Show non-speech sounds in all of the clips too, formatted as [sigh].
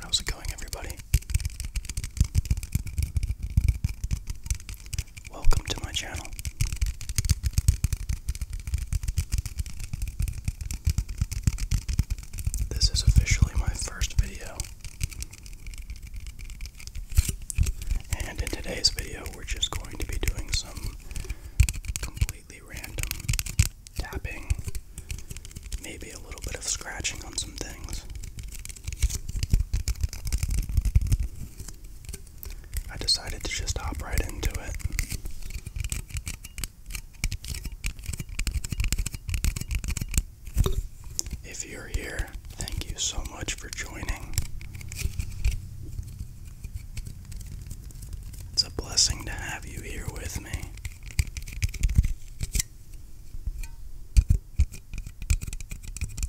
How's it going, everybody? Welcome to my channel. This is officially my first video. And in today's video, we're just going to be doing some completely random tapping, maybe a little bit of scratching on some things. I decided to just hop right into it. If you're here, thank you so much for joining. It's a blessing to have you here with me.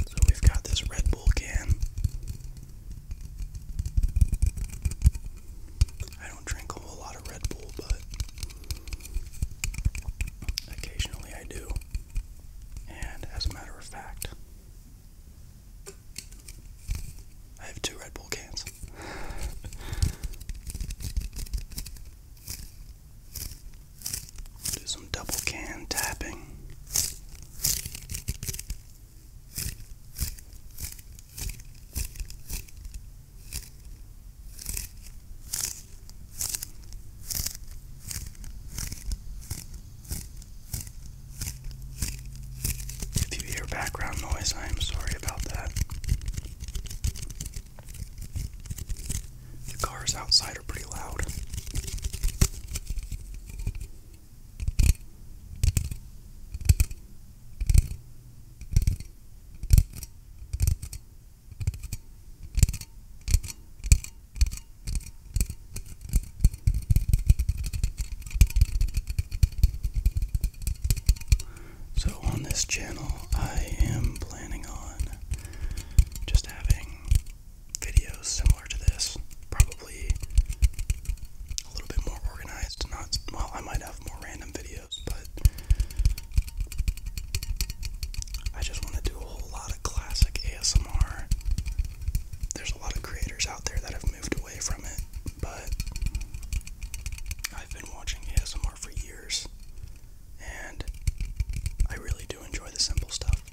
So we've got this Red Bull can. I don't drink a whole lot of Red Bull, but occasionally I do. And as a matter of fact, I have two Red Bull cans. Do some double can tapping. If you hear background noise, I am sorry about that. The cars outside are pretty loud. So, on this channel, I am planning on just having videos similar to this, probably a little bit more organized. Not well, I might have more random videos, but I just want to do a whole lot of classic ASMR there's a lot of creators out there that have moved away from it, but I've been watching ASMR for years and I really do enjoy the simple stuff.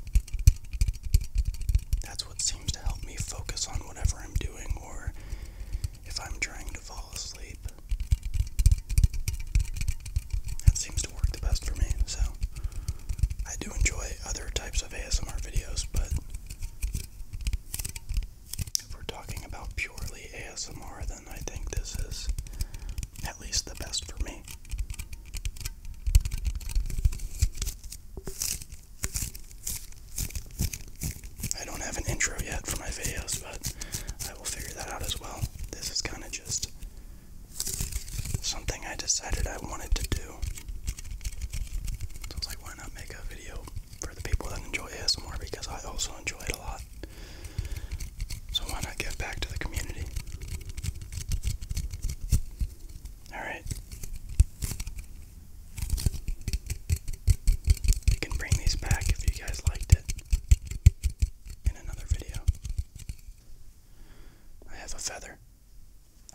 That's what seems to help me focus on whatever I'm doing or if I'm trying to fall asleep. That seems to work the best for me, so I do enjoy it other types of ASMR videos, but if we're talking about purely ASMR, then I think this is at least the best for me. I don't have an intro yet for my videos, but I will figure that out as well. This is kind of just something I decided I wanted to do. So I was like, why not make a video for the people that enjoy ASMR because I also enjoy it a lot. So why not give back to the community? Alright. You can bring these back if you guys liked it in another video. I have a feather.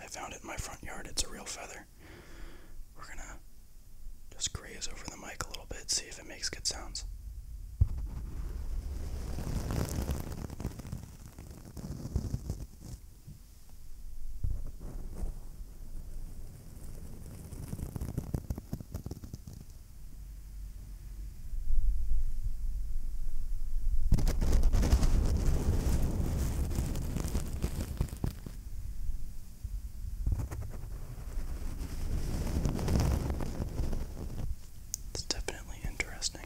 I found it in my front yard. It's a real feather. We're gonna just graze over the mic a little bit, see if it makes good sounds. It's definitely interesting.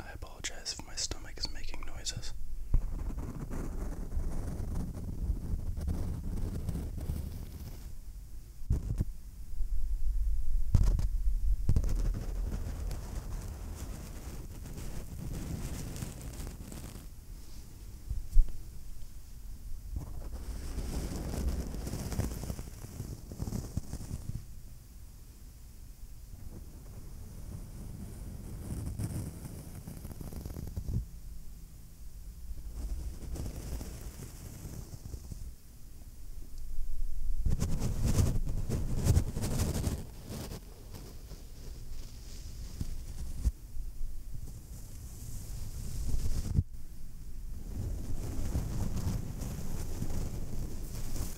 I apologize if my stomach is making noises.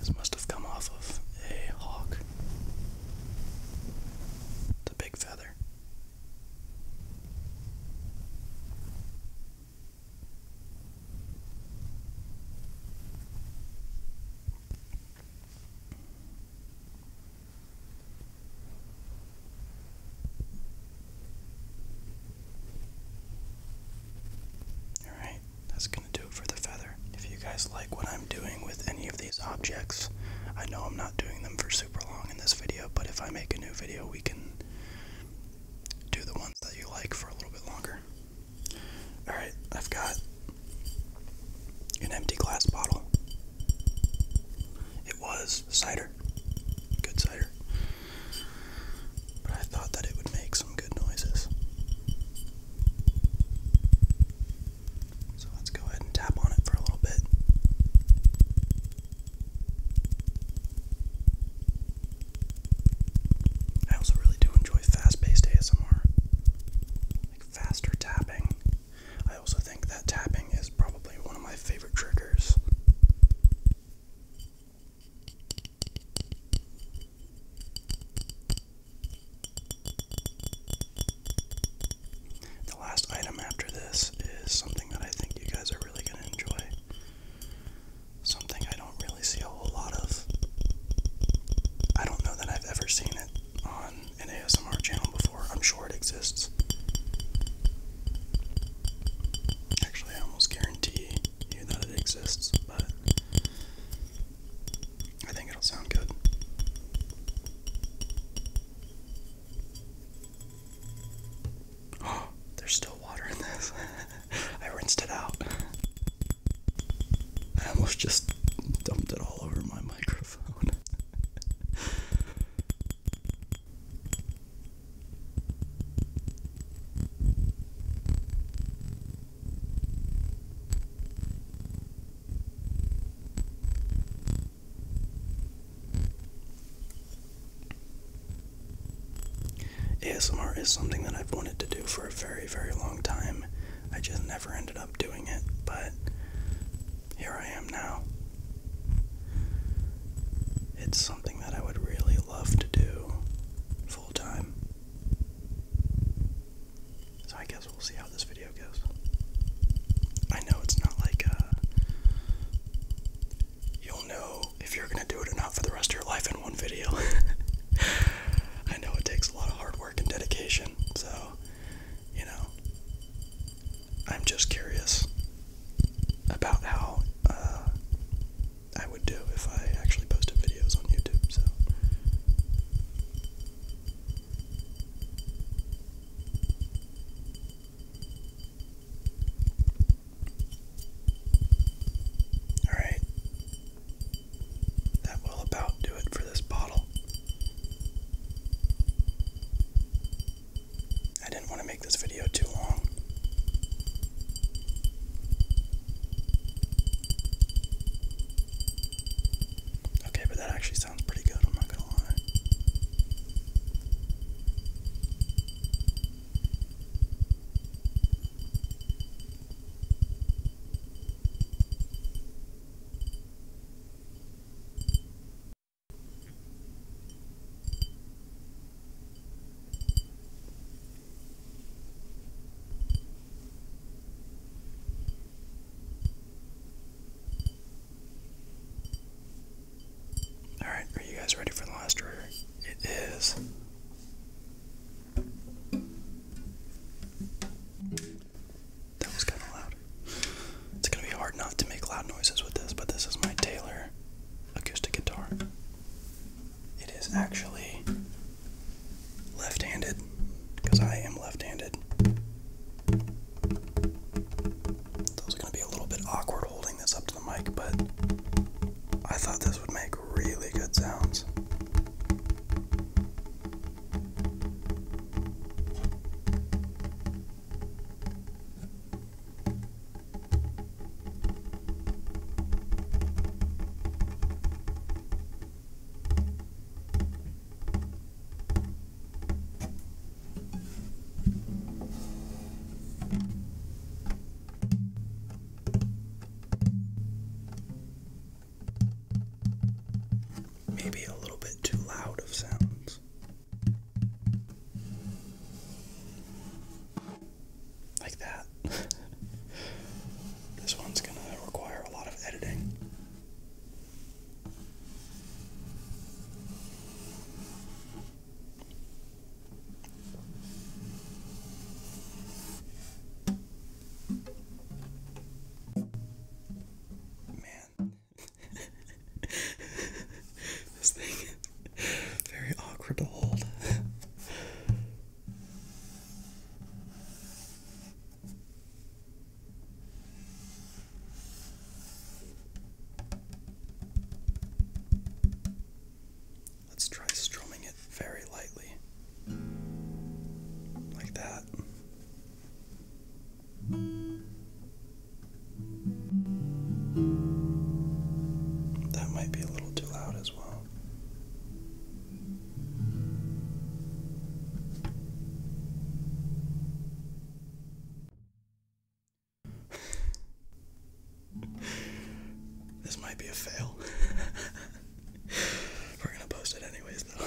This must have come off of a hawk. It's big feather. All right that's gonna do it for the feather. If you guys like what I'm doing with any of these objects, I know I'm not doing them for super long in this video, but if I make a new video, we can do the ones that you like for a little bit longer. Alright, I've got an empty glass bottle. It was cider. Good cider. But I thought that it would make some good noises. So let's go ahead and tap on it for a little bit. I also really do enjoy fast paced ASMR. Like faster tapping. I also think that tapping is probably one of my favorite triggers. The last item after this is something that I think you guys are really going to enjoy. Something I don't really see a whole lot of. I don't know that I've ever seen it on an ASMR channel before. I'm sure it exists. Actually, I almost guarantee you that it exists, but I think it'll sound good. Oh, [gasps] there's still water in this. [laughs] I rinsed it out. I almost just dumped it all over my microphone. [laughs] ASMR is something that I've wanted to do for a very, very long time. I just never ended up doing it, but here I am now. It's something that I would really love to do full time. So I guess we'll see how this video goes. I know it's not like uh you'll know if you're gonna do it or not for the rest of your life in one video. [laughs] I know it takes a lot of hard work and dedication, so you know I'm just curious about how uh, I would do if I actually posted videos on YouTube, so. Alright. That will about do it for this bottle. I didn't want to make this video too long. Okay, but that actually sounds pretty good, I'm not gonna lie. Alright, are you guys ready for the last order? It is. That was kind of loud. It's going to be hard not to make loud noises with this, but this is my Taylor acoustic guitar. It is actually left handed because I am left handed. So it's going to be a little bit awkward holding this up to the mic, but I thought this would make really good sounds. Maybe a little bit too loud of sounds like that. [laughs] this one's gonna require a lot of editing. Man, [laughs] this thing [laughs] very awkward to hold. Let's try strumming it very lightly, like that. That might be a little too loud as well. [laughs] this might be a fail. [laughs] We're gonna post it anyways, though.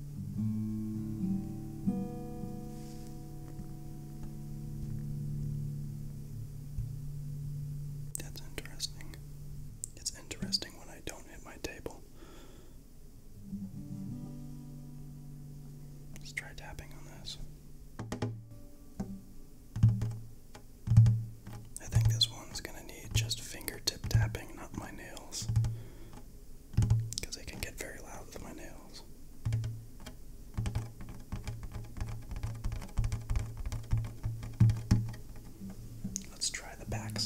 That's interesting. It's interesting when I don't hit my table. Let's try tapping on this. I think this one's gonna need just fingertip tapping, not my nails because I can get very loud with my nails. Let's try the back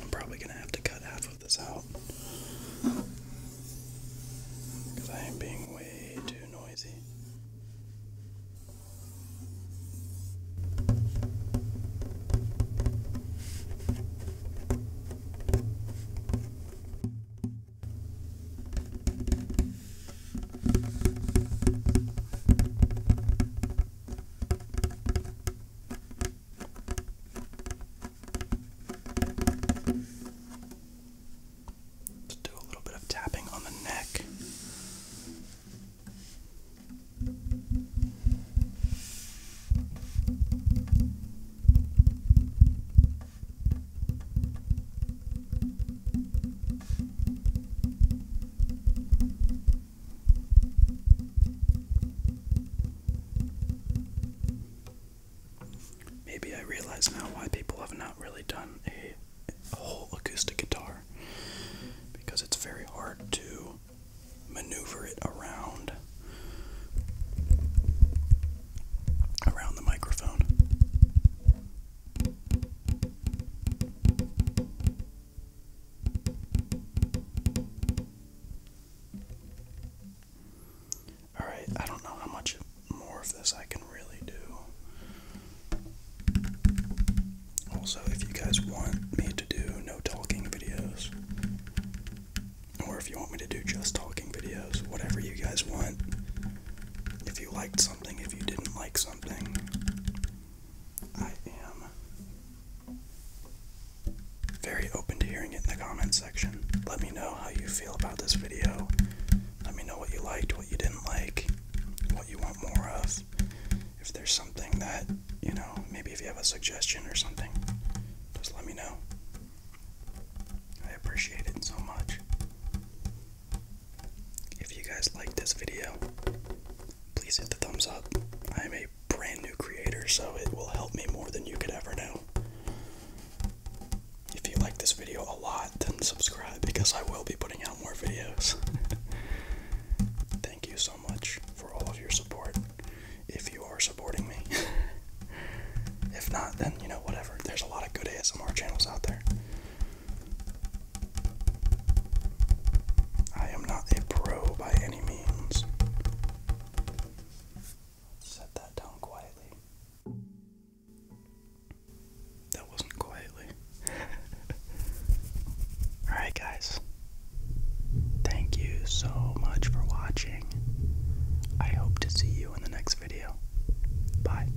I'm probably gonna have to cut half of this out. I am being way too noisy. Let's do a little bit of tapping on the neck. Good. Maybe I realize now why people have not really done a, whole acoustic guitar because it's very hard to maneuver it around around the microphone. Alright, I don't know how much more of this I can really do. Also, if you guys want me to do no talking videos, or if you want me to do just talking videos, whatever you guys want. If you liked something, if you didn't like something, I am very open to hearing it in the comments section. Let me know how you feel about this video. Let me know what you liked, what you didn't like, what you want more of. If there's something that, you know, maybe if you have a suggestion or something, just let me know. I appreciate it so much. If you guys like this video, please hit the thumbs up. I am a brand new creator, so it will help me more than you could ever know. If you like this video a lot, then subscribe because I will be putting out more videos. [laughs] Thank you so much for all of your support. If you are supporting me, [laughs] if not, then you know, whatever. There's a lot of good ASMR channels out there. I am not a pro by any means. Set that down quietly. That wasn't quietly. [laughs] Alright, guys. Thank you so much for watching. I hope to see you in the next video. Bye.